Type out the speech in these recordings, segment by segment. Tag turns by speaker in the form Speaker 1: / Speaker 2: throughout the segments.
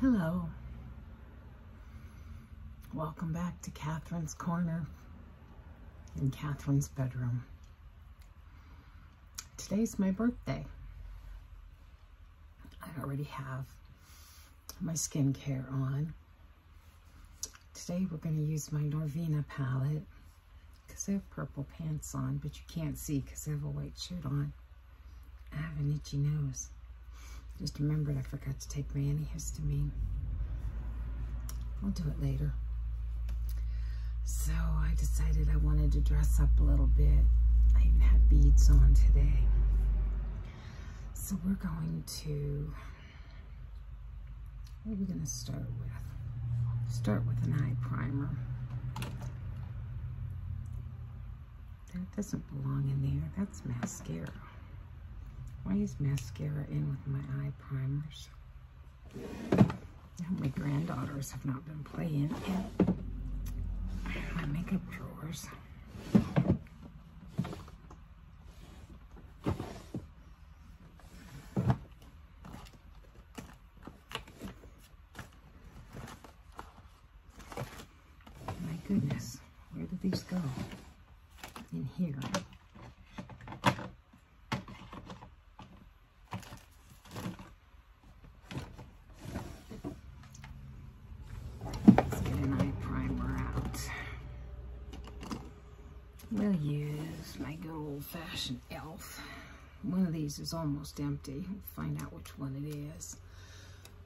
Speaker 1: Hello. Welcome back to Catherine's Corner in Catherine's bedroom. Today's my birthday. I already have my skincare on. Today we're going to use my Norvina palette because I have purple pants on, but you can't see because I have a white shirt on. I have an itchy nose. Just remembered I forgot to take my antihistamine. I'll do it later. So I decided I wanted to dress up a little bit. I even have beads on today. So we're going to, what are we going to start with? Start with an eye primer. That doesn't belong in there. That's mascara. Why is mascara in with my eye primers? My granddaughters have not been playing in my makeup drawers. My goodness, where did these go? In here. Let's get an eye primer out. We'll use my good old-fashioned elf. One of these is almost empty. find out which one it is.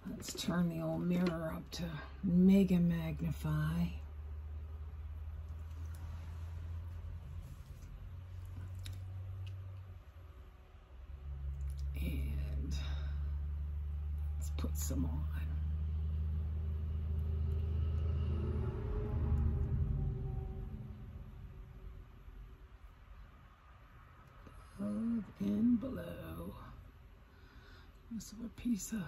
Speaker 1: Let's turn the old mirror up to mega magnify. And let's put some on. Above and below. This is a piece of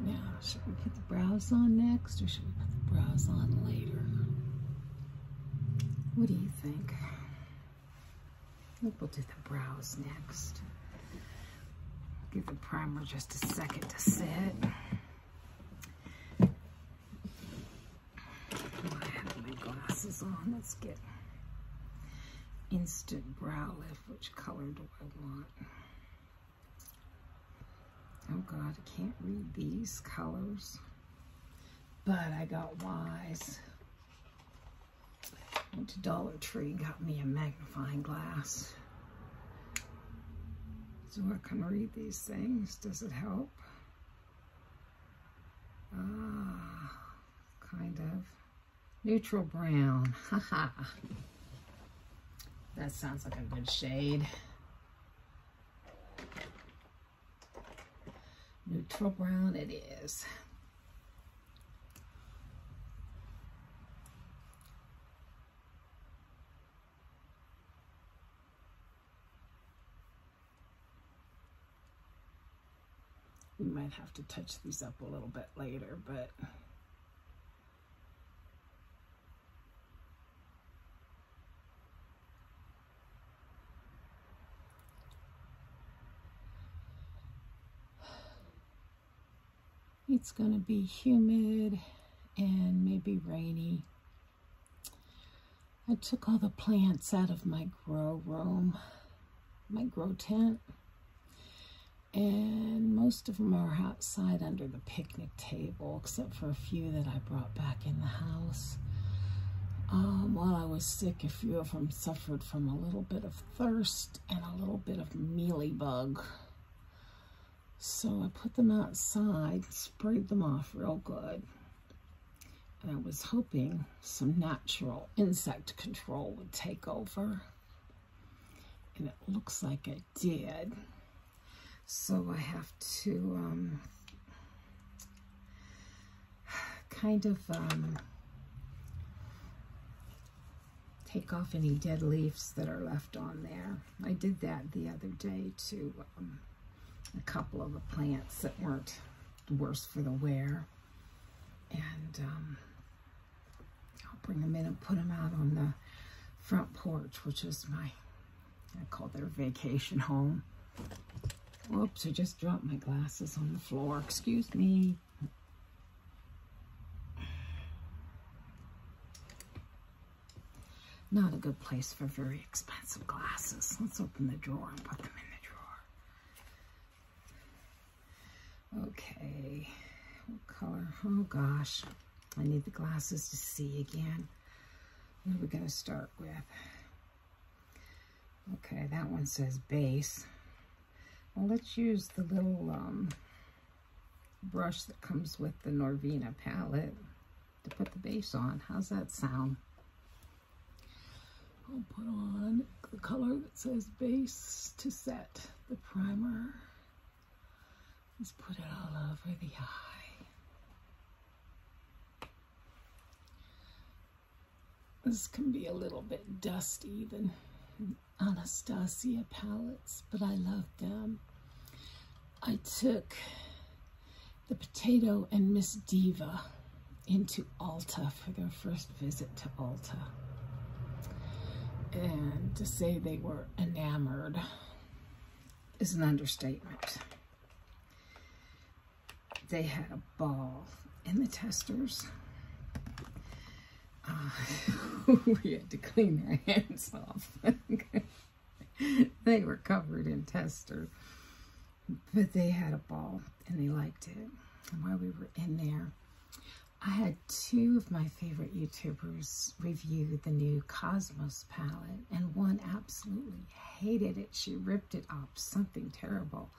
Speaker 1: now, should we put the brows on next or should we put the brows on later? What do you think? I think we'll do the brows next. Give the primer just a second to set. glasses on. Let's get instant brow lift. Which color do I want? Oh God, I can't read these colors, but I got wise. Went to Dollar Tree, got me a magnifying glass. So I can read these things. Does it help? Ah, kind of. Neutral brown. Haha. That sounds like a good shade. Neutral brown it is. We might have to touch these up a little bit later, but it's going to be humid and maybe rainy. I took all the plants out of my grow room, my grow tent, and most of them are outside under the picnic table, except for a few that I brought back in the house. Um, while I was sick, a few of them suffered from a little bit of thirst and a little bit of mealy bug. So I put them outside, sprayed them off real good. And I was hoping some natural insect control would take over. And it looks like it Dead, So I have to um, kind of um, take off any dead leaves that are left on there. I did that the other day to um, a couple of the plants that weren't worse for the wear. And I'll bring them in and put them out on the front porch, which is my, I call their vacation home. Oops! I just dropped my glasses on the floor. Excuse me. Not a good place for very expensive glasses. Let's open the drawer and put them in the drawer. Okay, what color? Oh gosh, I need the glasses to see again. What are we going to start with? Okay, that one says base. Well, let's use the little um, brush that comes with the Norvina palette to put the base on. How's that sound? I'll put on the color that says base to set the primer. Let's put it all over the eye. This can be a little bit dusty even Anastasia palettes, but I love them. I took the Potato and Miss Diva into Alta for their first visit to Alta. And to say they were enamored is an understatement. They had a ball in the testers. Uh, we had to clean their hands off. they were covered in testers, But they had a ball and they liked it. while we were in there, I had two of my favorite YouTubers review the new Cosmos palette, and one absolutely hated it. She ripped it up, something terrible.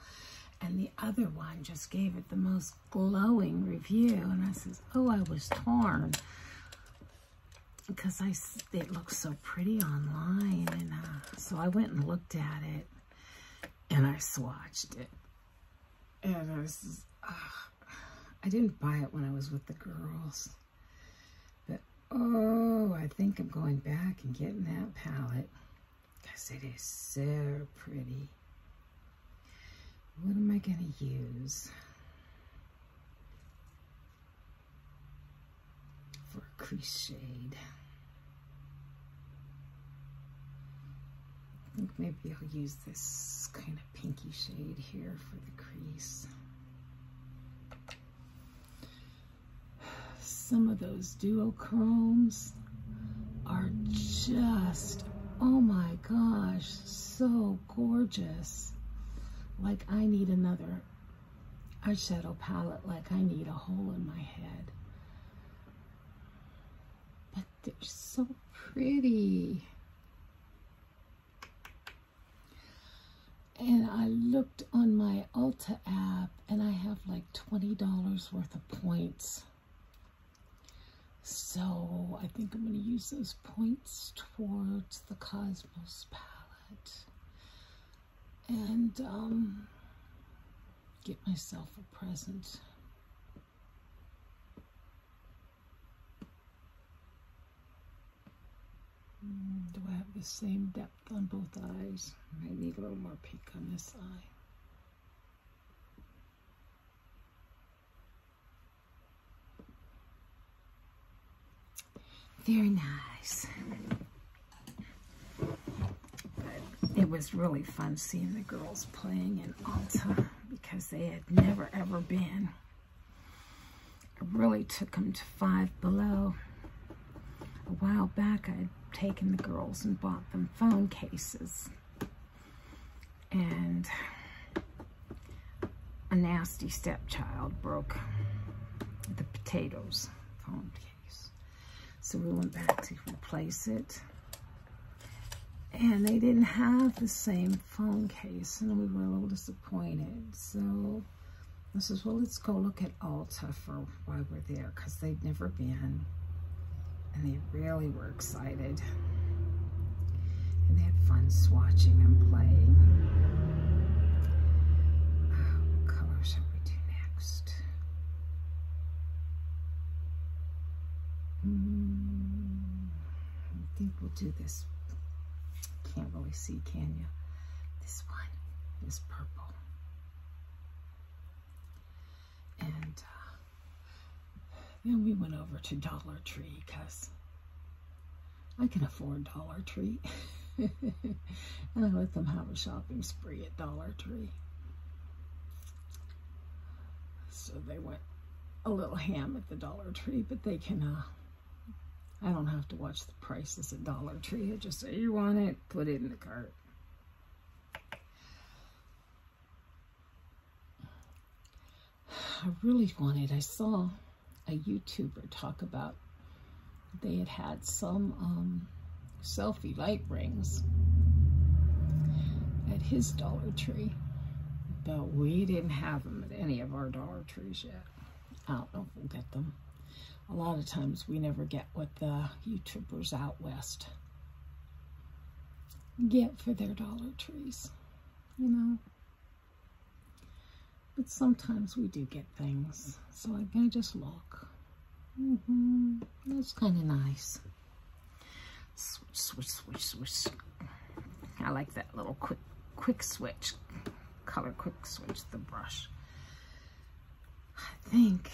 Speaker 1: And the other one just gave it the most glowing review. And I says, oh, I was torn because I, it looks so pretty online. And uh, so I went and looked at it and I swatched it. And I was, uh, I didn't buy it when I was with the girls. But, oh, I think I'm going back and getting that palette. Because it is so pretty. What am I going to use? For a crease shade. I think maybe I'll use this kind of kind pinky shade here for the crease. Some of those duochromes are just, oh my gosh, so gorgeous. Like I need another eyeshadow palette, like I need a hole in my head. They're so pretty. And I looked on my Ulta app and I have like $20 worth of points. So I think I'm going to use those points towards the Cosmos palette. And um, get myself a present. Mm, do I have the same depth on both eyes? I need a little more pink on this eye. Very nice. it was really fun seeing the girls playing in Alta because they had never ever been. I really took them to Five Below. A while back, I had taken the girls and bought them phone cases. And a nasty stepchild broke the potatoes phone case. So we went back to replace it. And they didn't have the same phone case, and we were a little disappointed. So I says, well, let's go look at Ulta for while we're there, because they'd never been. And they really were excited. And they had fun swatching and playing. Oh, what color should we do next? Hmm. I think we'll do this. Can't really see, can you? This one is purple. And uh, then we went over to Dollar Tree because I can afford Dollar Tree. and I let them have a shopping spree at Dollar Tree. So they went a little ham at the Dollar Tree, but they can, uh, I don't have to watch the prices at Dollar Tree. I just say, you want it, put it in the cart. I really wanted, I saw a YouTuber talk about they had had some um, selfie light rings at his Dollar Tree. But we didn't have them at any of our Dollar Trees yet. I don't know if we'll get them. A lot of times we never get what the YouTubers out west get for their Dollar Trees, you know. But sometimes we do get things. So I, I just look. Mm-hmm. That's kind of nice. Switch, switch, switch. switch. I like that little quick, quick switch, color quick switch, the brush. I think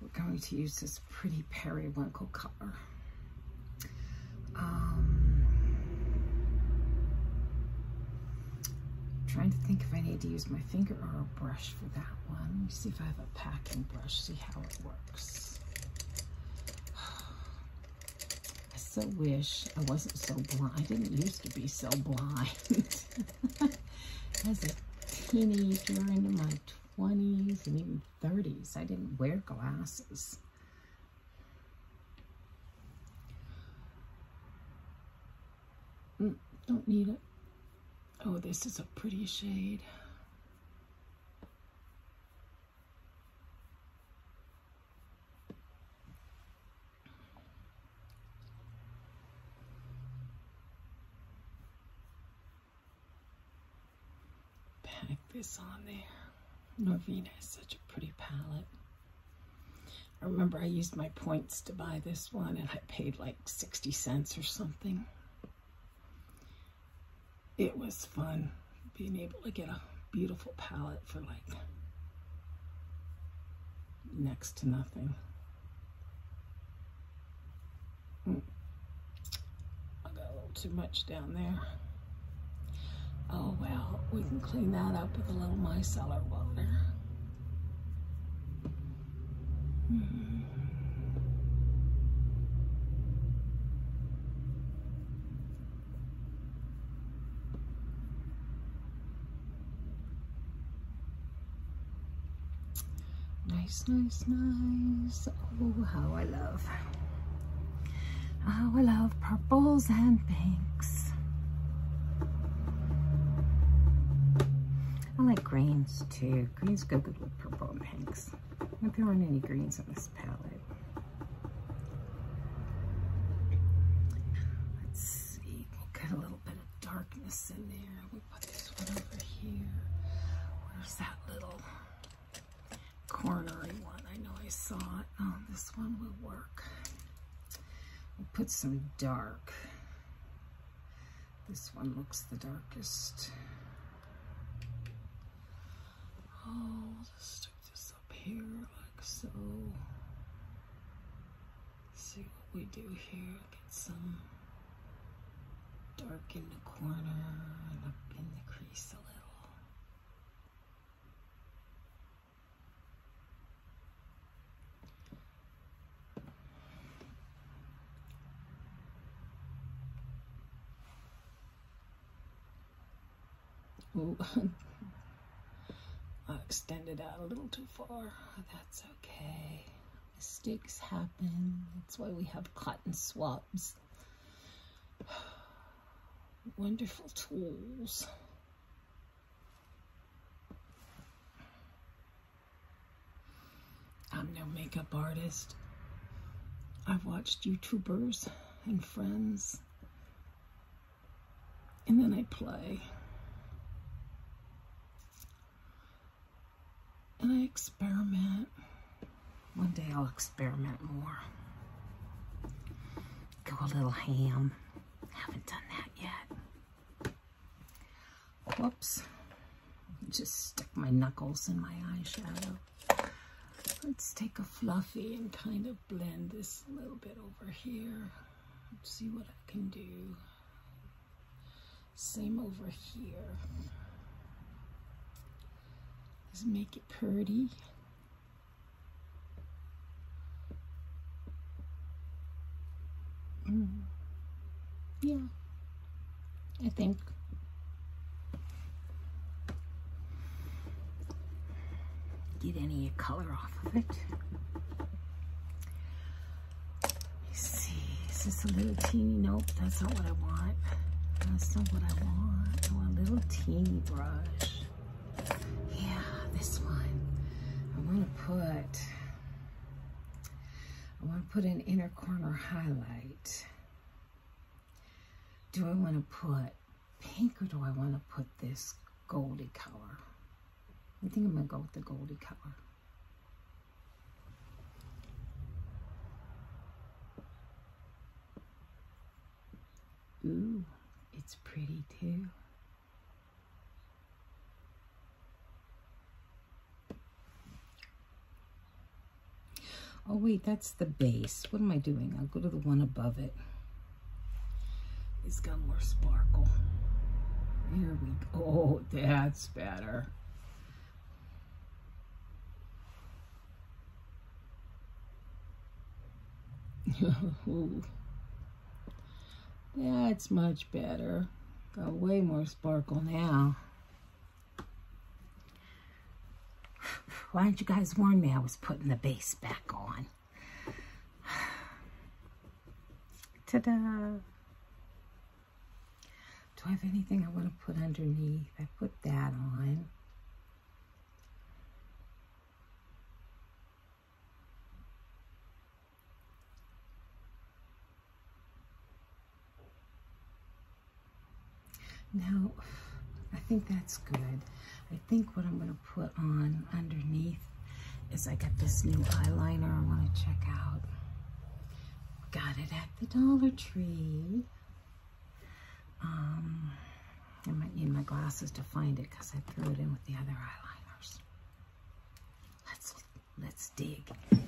Speaker 1: we're going to use this pretty periwinkle color. Um, trying to think if I need to use my finger or a brush for that one. Let me see if I have a packing brush, see how it works. I so wish I wasn't so blind. I didn't used to be so blind. As a teenager into my 20s and even 30s, I didn't wear glasses. Mm, don't need it. Oh, this is a pretty shade. Pack this on there. Norvina is such a pretty palette. I remember I used my points to buy this one and I paid like 60 cents or something it was fun being able to get a beautiful palette for like next to nothing. Hmm. I got a little too much down there. Oh well, we can clean that up with a little micellar water. Hmm. Nice, nice, nice. Oh, how I love. How I love purples and pinks. I like greens too. Greens go good with purple and pinks. But there aren't any greens in this palette. Let's see, we'll get a little bit of darkness in there. We put this one over here. Where's that little cornery one? I know I saw it. Oh, this one will work. We'll put some dark. This one looks the darkest. Oh, I'll just do this up here like so. see what we do here. Get some dark in the corner and up in the crease a little. Oh, I extended out a little too far. That's okay. Mistakes happen. That's why we have cotton swabs. Wonderful tools. I'm no makeup artist. I've watched YouTubers and friends. And then I play. And I experiment. One day I'll experiment more. Go a little ham. Haven't done that yet. Whoops. Just stuck my knuckles in my eyeshadow let's take a fluffy and kind of blend this a little bit over here. see what I can do. Same over here. Let's make it pretty. Mm. Yeah. I think. Get any color off of it. Let's see, is this a little teeny? Nope, that's not what I want. That's not what I want. I oh, want a little teeny brush. Yeah, this one. I want to put, I want to put an inner corner highlight. Do I want to put pink or do I want to put this goldy color? I think I'm going to go with the goldy color. Ooh, it's pretty too. Oh wait, that's the base. What am I doing? I'll go to the one above it. It's got more sparkle. There we go. Oh, that's better. That's much better. Got way more sparkle now. Why didn't you guys warn me I was putting the base back on? Ta-da! Do I have anything I want to put underneath? I put that on. Now, I think that's good. I think what I'm going to put on underneath is I got this new eyeliner I want to check out. Got it at the Dollar Tree. Um, I might need my glasses to find it because I threw it in with the other eyeliners. Let's, let's dig.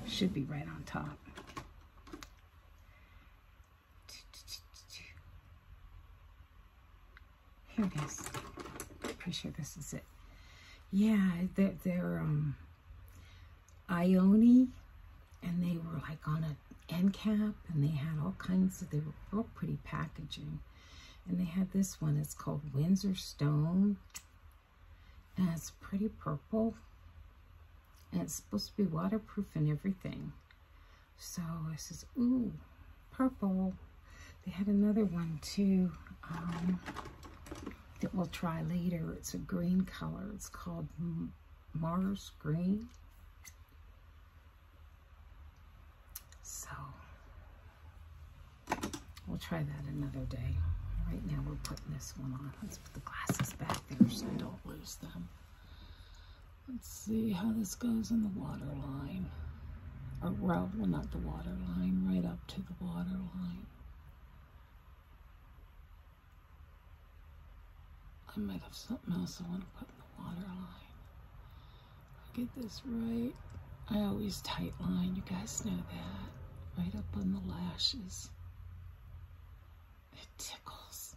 Speaker 1: Should be right on top. Here it is. I'm pretty sure this is it. Yeah, they're, they're um, Ione, and they were like on an end cap, and they had all kinds of, they were all pretty packaging. And they had this one, it's called Windsor Stone, and it's pretty purple, and it's supposed to be waterproof and everything. So this is, ooh, purple. They had another one too um, that we'll try later. It's a green color. It's called Mars Green. So we'll try that another day. Right now we're putting this one on. Let's put the glasses back there so I don't lose them. Let's see how this goes in the water Or well, not the water right up to the water I might have something else I want to put in the water line. I'll get this right. I always tight line, you guys know that. Right up on the lashes. It tickles.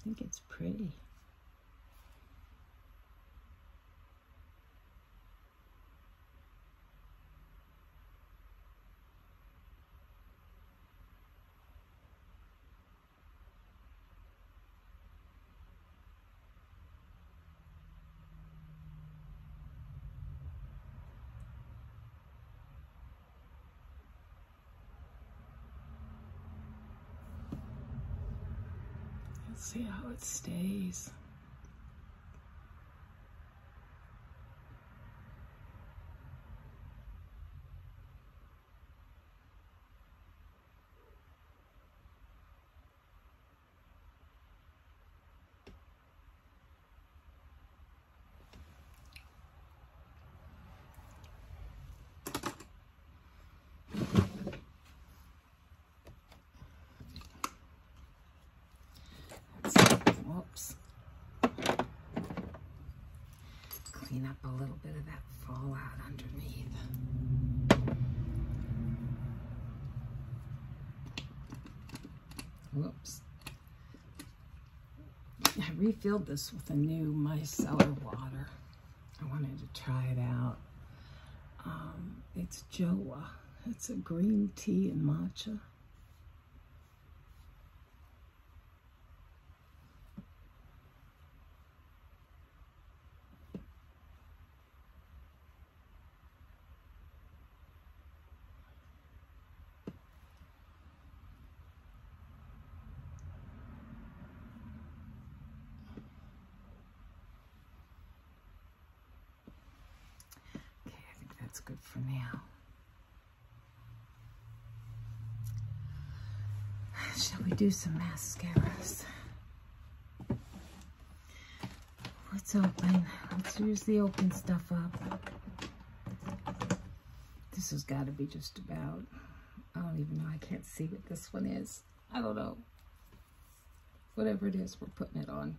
Speaker 1: I think it's pretty. Let's see how it stays. Oops. Clean up a little bit of that fallout underneath. Whoops. I refilled this with a new micellar water. I wanted to try it out. Um, it's Joa. It's a green tea and matcha. Okay, I think that's good for now. Shall we do some mascaras? Let's open. Let's use the open stuff up. This has got to be just about I don't even know. I can't see what this one is. I don't know. Whatever it is, we're putting it on.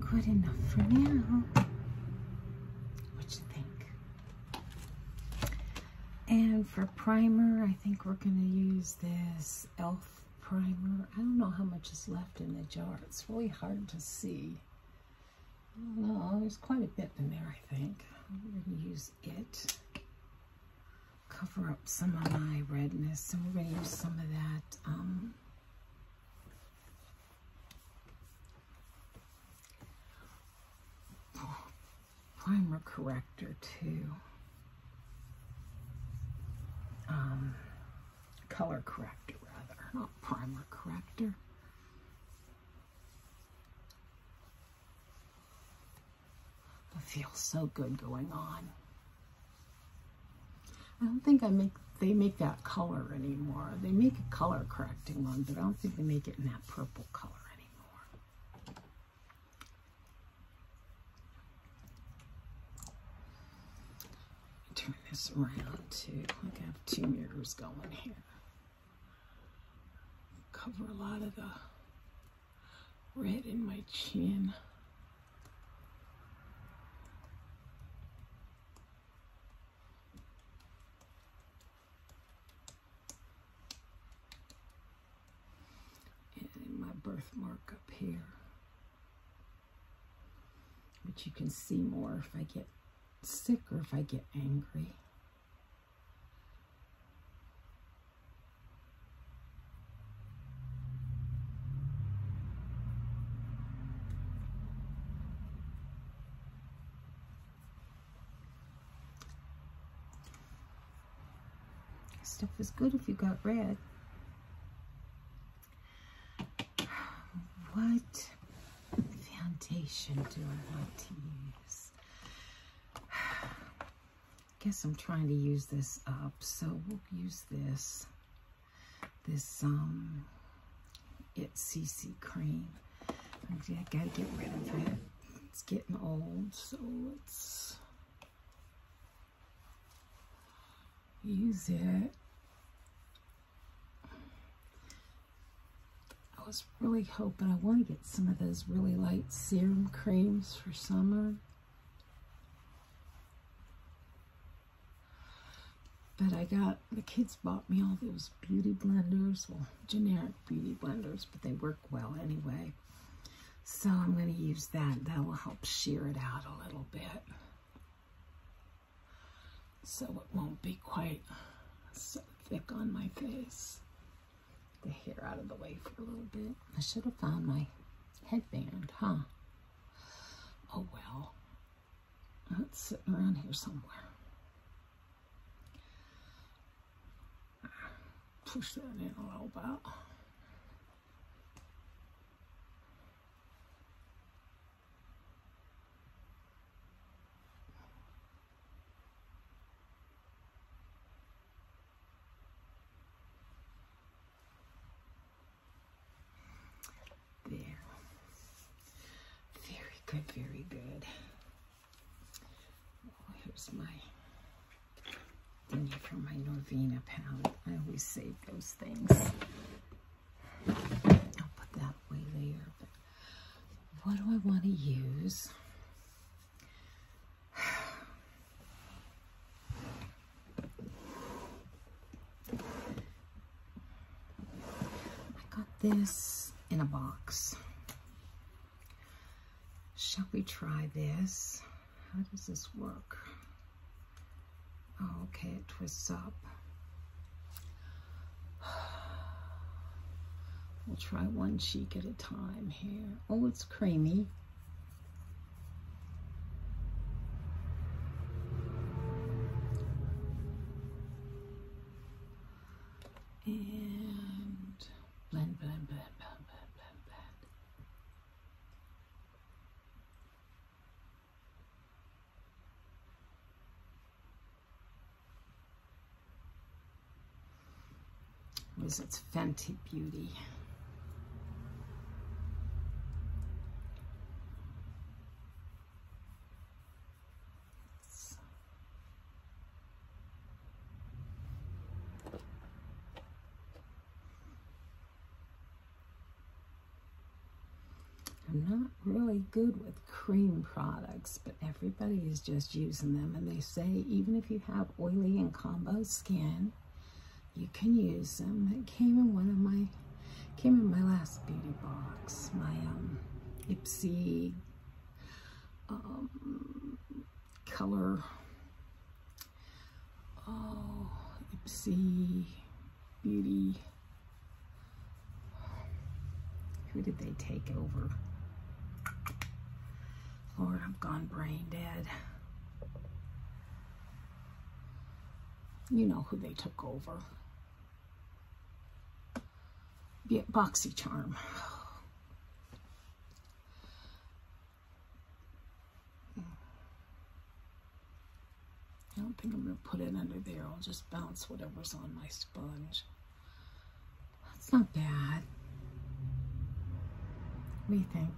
Speaker 1: Good enough for now. What you think? And for primer, I think we're going to use this e.l.f. primer. I don't know how much is left in the jar. It's really hard to see. I do There's quite a bit in there, I think. We're going to use it cover up some of my redness. So we're going to use some of that um, primer corrector too. Um, color corrector rather, not primer corrector. But feels so good going on. I don't think I make they make that color anymore. They make a color correcting one, but I don't think they make it in that purple color anymore. Turn this around too. Like I have two mirrors going here. Cover a lot of the red in my chin. And my birthmark up here. But you can see more if I get sick or if I get angry. Stuff is good if you got red. What foundation do I want to use? guess I'm trying to use this up. So we'll use this, this, um, It CC cream. I gotta get rid of it. It's getting old, so let's use it. I was really hoping I want to get some of those really light serum creams for summer. But I got, the kids bought me all those beauty blenders, well, generic beauty blenders, but they work well anyway. So I'm going to use that. That will help sheer it out a little bit. So it won't be quite so thick on my face the hair out of the way for a little bit. I should have found my headband, huh? Oh well. It's sitting around here somewhere. Push that in a little bit. There. Very good, very good. here's my thingy from my Norvina palette. I always save those things. I'll put that away later. But what do I want to use? I got this in a box. Shall we try this? How does this work? Oh, okay, it twists up. We'll try one cheek at a time here. Oh, it's creamy and blend, blend, blend, blend, blend, blend, blend. Was its Fenty Beauty. I'm not really good with cream products, but everybody is just using them. And they say even if you have oily and combo skin, you can use them. It came in one of my came in my last beauty box, my um, Ipsy um, color. Oh, Ipsy Beauty. Who did they take over? Lord, I've gone brain dead. You know who they took over. Boxy charm. I don't think I'm going to put it under there. I'll just bounce whatever's on my sponge. That's not bad. What do you think?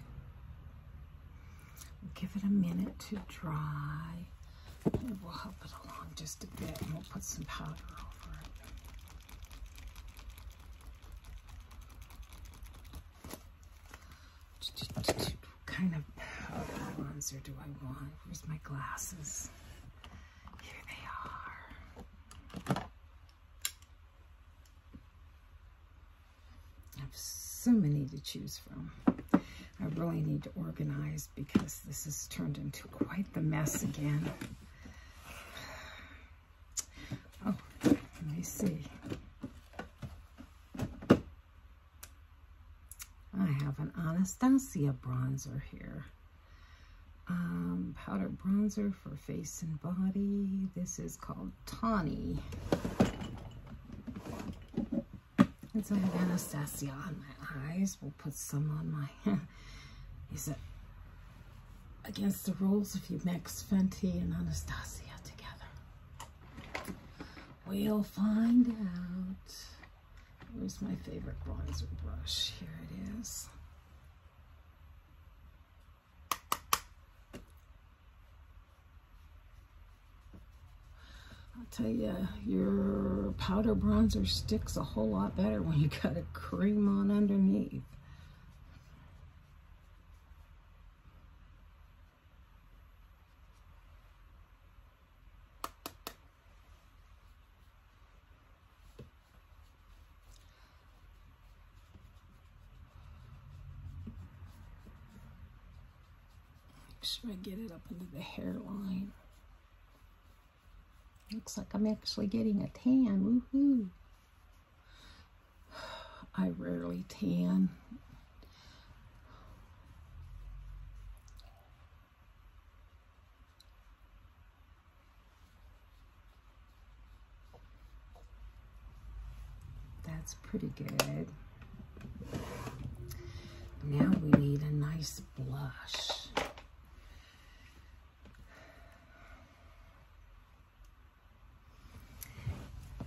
Speaker 1: Give it a minute to dry. And we'll help it along just a bit and we'll put some powder over it. What kind of powder bronzer do I want? Where's my glasses? Here they are. I have so many to choose from. I really need to organize because this has turned into quite the mess again. Oh, let me see. I have an Anastasia bronzer here. Um, powder bronzer for face and body. This is called called Tawny. And so I have Anastasia on my eyes. We'll put some on my... Is it against the rules if you mix Fenty and Anastasia together? We'll find out. Where's my favorite bronzer brush? Here it is. I'll tell you, your powder bronzer sticks a whole lot better when you got a cream on underneath. Make sure I get it up into the hairline. Looks like I'm actually getting a tan. Woohoo! I rarely tan. That's pretty good. Now we need a nice blush.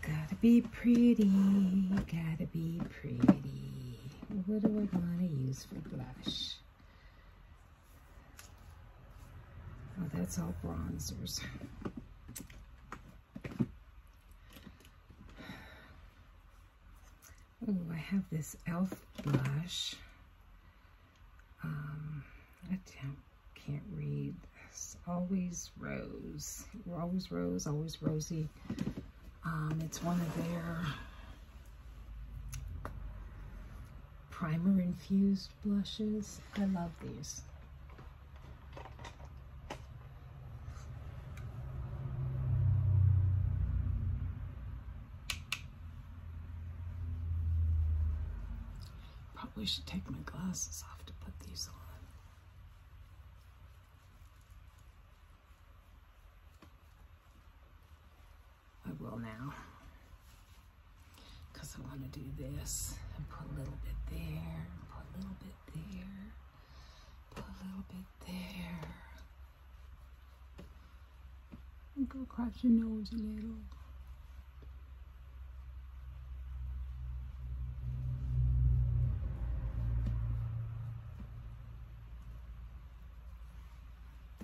Speaker 1: Gotta be pretty, gotta be pretty. What do I want to use for blush? Oh, that's all bronzers. Oh, I have this e.l.f. blush. Um, I can't read this. Always Rose. Always Rose, Always Rosy. Um, it's one of their primer infused blushes. I love these. Probably should take my glasses off to put these on. I will now because i want to do this and put a little bit there, put a little bit there, put a little bit there. And go across your nose a little.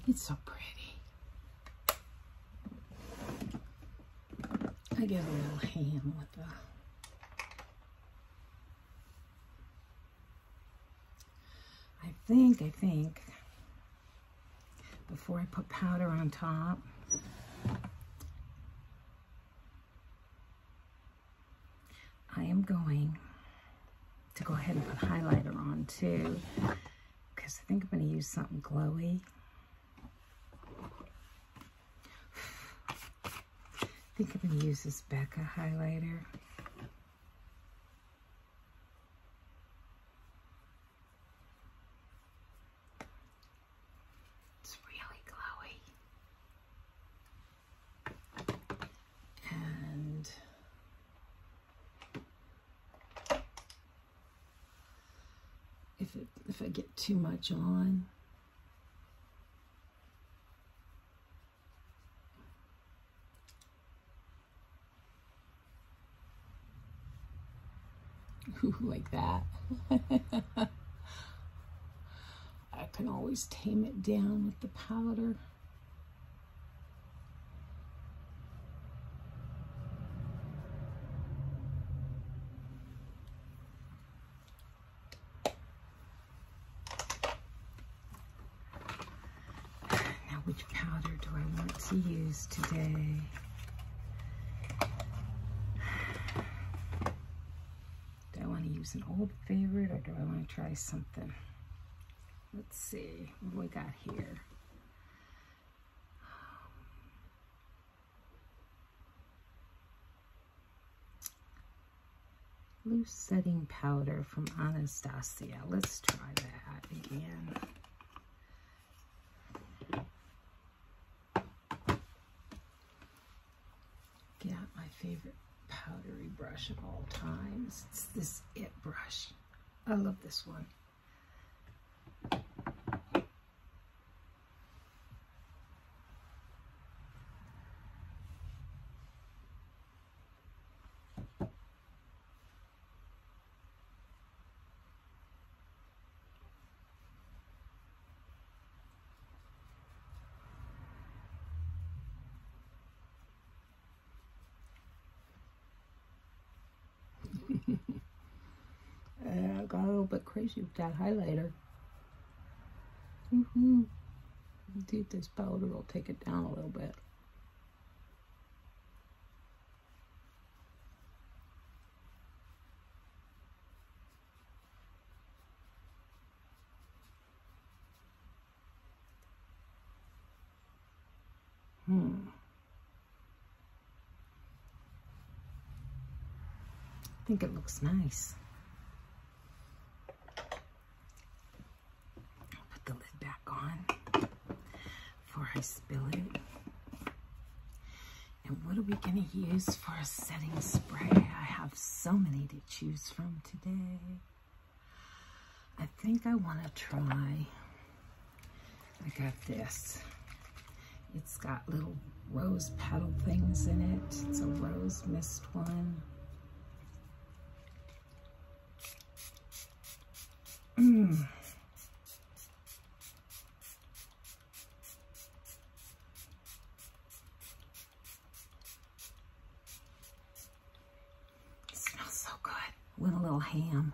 Speaker 1: It's so pretty. I give a little ham with the I think, I think, before I put powder on top, I am going to go ahead and put highlighter on too, because I think I'm going to use something glowy. I think I'm going to use this Becca highlighter. It's really glowy. And if, if I get too much on. like that. I can always tame it down with the powder. Now which powder do I want to use today? Do I want to use an old favorite or do I want to try something? Let's see, what we got here? Loose setting powder from Anastasia. Let's try that again. Get out my favorite powdery brush of all times. It's this It brush. I love this one. I uh, got a little bit crazy with that highlighter. Mm hmm Indeed, this powder will take it down a little bit. Hmm. I think it looks nice. I'll put the lid back on before I spill it. And what are we going to use for a setting spray? I have so many to choose from today. I think I want to try, I got this it's got little rose petal things in it. It's a rose mist one. Mm. smells so good. Went a little ham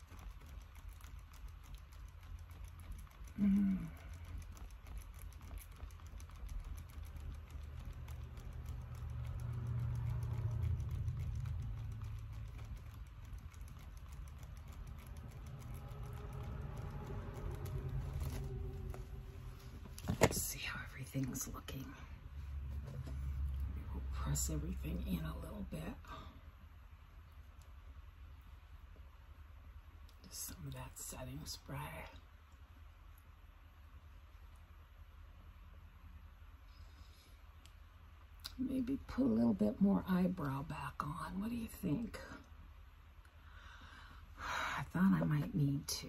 Speaker 1: Let's see how everything's looking. press everything in a little bit. Just some of that setting spray. Maybe put a little bit more eyebrow back on. What do you think? I thought I might need to.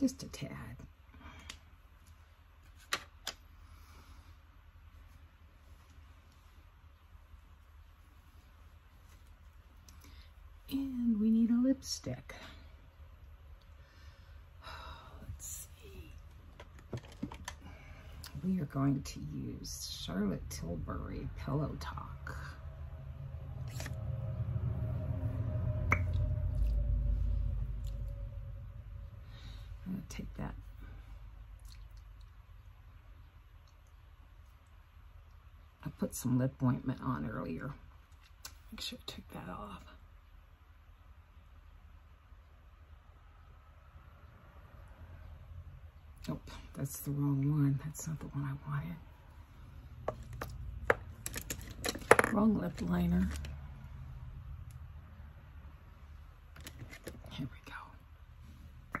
Speaker 1: Just a tad. And we need a lipstick. Let's see. We are going to use Charlotte Tilbury Pillow Talk. I'm going to take that I put some lip ointment on earlier. Make sure I took that off oh, that's the wrong one. That's not the one I wanted. Wrong lip liner. Here we go.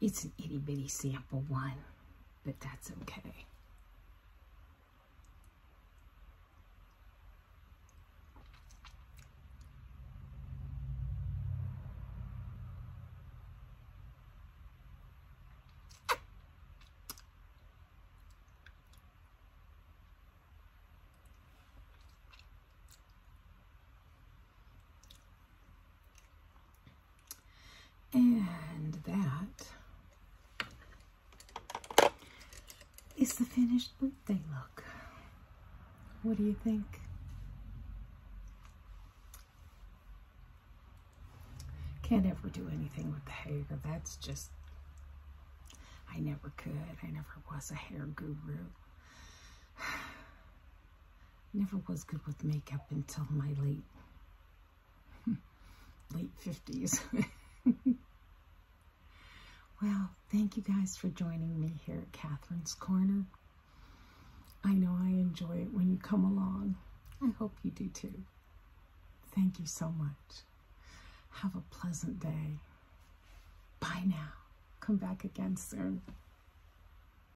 Speaker 1: It's an itty bitty sample one, but that's okay. And that is the finished birthday look. What do you think? Can't ever do anything with the hair. That's just, I never could. I never was a hair guru. Never was good with makeup until my late late 50s. well, thank you guys for joining me here at Catherine's Corner. I know I enjoy it when you come along. I hope you do too. Thank you so much. Have a pleasant day. Bye now. Come back again soon.